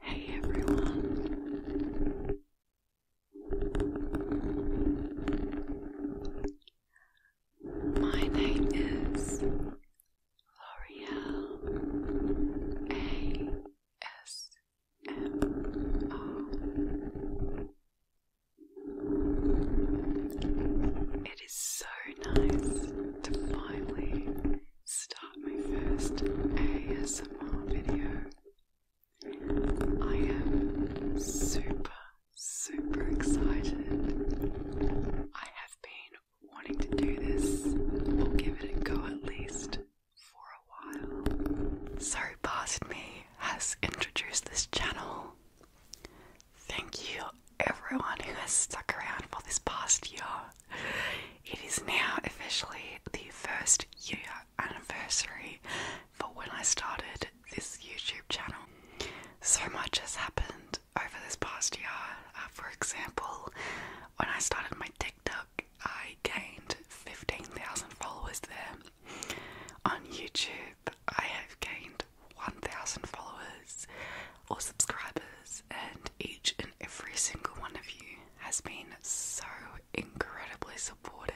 Hey everyone, my name is L'Oreal A S M O. It is so nice to finally start my first ASMR video. I am super, super excited. I have been wanting to do this We'll give it a go at least for a while. Sorry, Past Me has introduced this channel Thank you, everyone who has stuck around for this past year. It is now officially the first year anniversary for when I started this YouTube channel. So much has happened over this past year. Uh, for example, when I started my TikTok, I gained 15,000 followers there. On YouTube, I have gained 1,000 followers or subscribers, and each and every single one of you has been so incredibly supportive.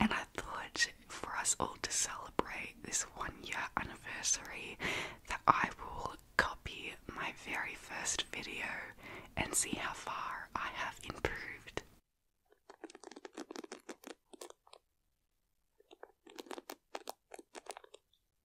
And I thought for us all to celebrate this one year anniversary, that I will copy my very first video and see how far I have improved.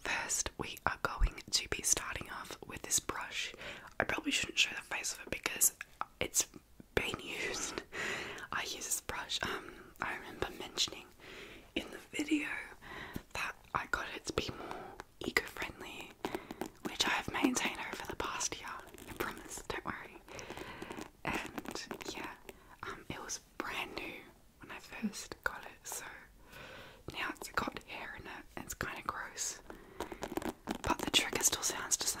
First, we are going to be starting off with this brush. I probably shouldn't show the face of it because it's been used. I use this brush. Um, I remember mentioning in the video that I got it to be more eco-friendly, which I have maintained over the past year. I promise. Don't worry. And yeah, um, it was brand new when I first got it, so now it's got hair in it, it's kind of gross. But the trigger still sounds the same.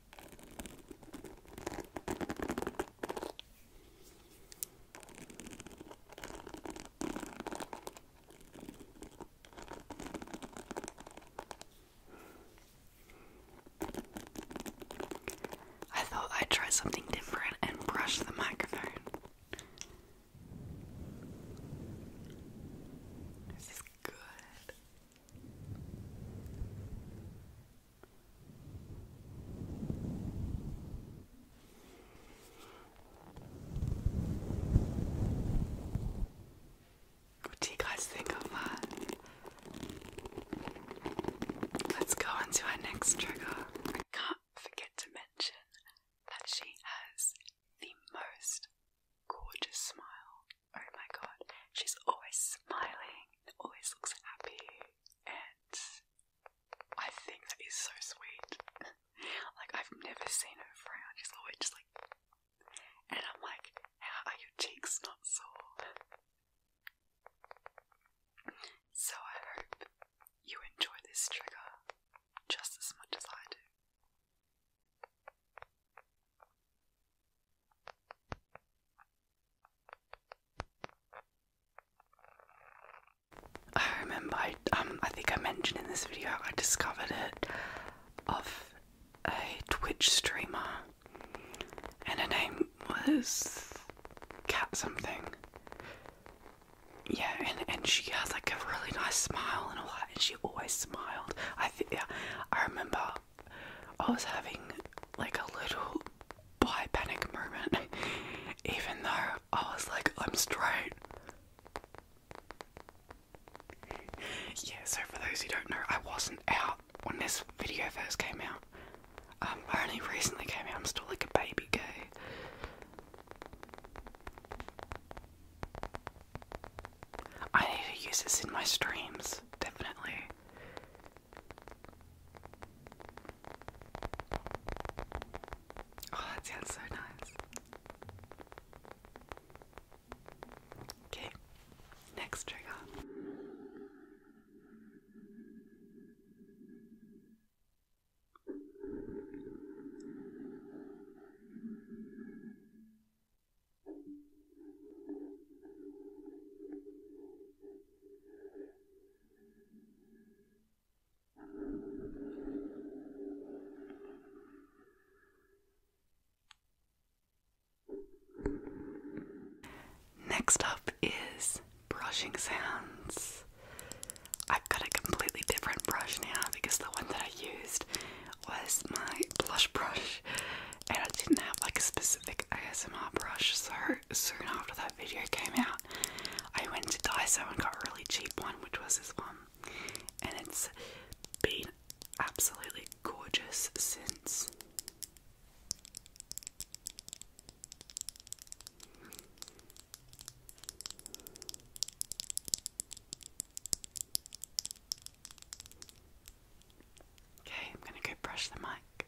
I thought I'd try something different and brush the microphone. This is good. What do you guys think of that? Let's go on our next trigger. can't forget to mention that she has the most gorgeous smile. Oh my god, she's always smiling, always looks happy and I think that is so sweet. like I've never seen her frown. She's always just like, and I'm like, are your cheeks not sore? So I hope you enjoy this trigger just as much as I do. I remember I um I think I mentioned in this video I discovered it of a Twitch streamer and her name was Cat something. Yeah, and, and she has like a really nice smile and all that and she always smiled. I think yeah, I remember I was having like a little bi panic moment, even though I was like, I'm straight. Yeah, so for those who don't know, I wasn't out when this video first came out. Um, I only recently came out, I'm still like a baby gay. I need to use this in my streams, definitely. Oh, that sounds so nice. Okay, next trigger. Next up is brushing sounds. I've got a completely different brush now because the one that I used was my blush brush, and I didn't have like a specific ASMR brush, so soon after that video came out, I went to Daiso and got a really cheap one, which was this one, and it's been absolutely gorgeous since. Okay, I'm going to go brush the mic.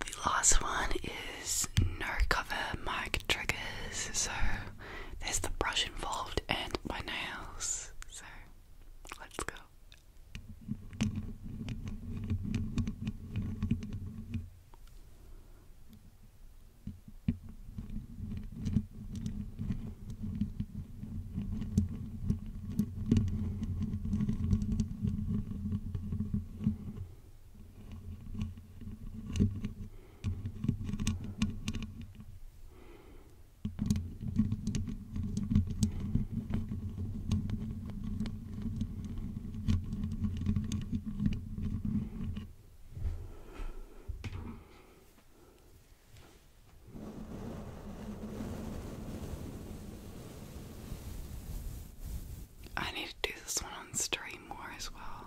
The last one is no cover mic triggers, so there's the brush involved and my nails. So let's go. I need to do this one on stream more as well.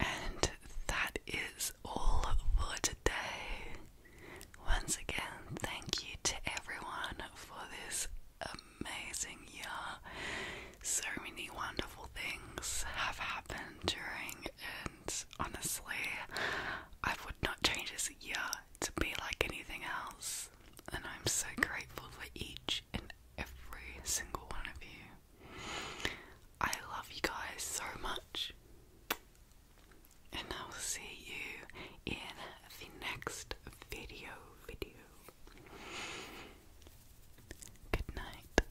And that is all for today. Once again, thank you to everyone for this amazing year. So many wonderful things have happened during an honestly, I would not change this year to be like anything else. And I'm so grateful for each and every single one of you. I love you guys so much. And I will see you in the next video video. Good night.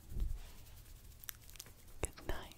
Good night.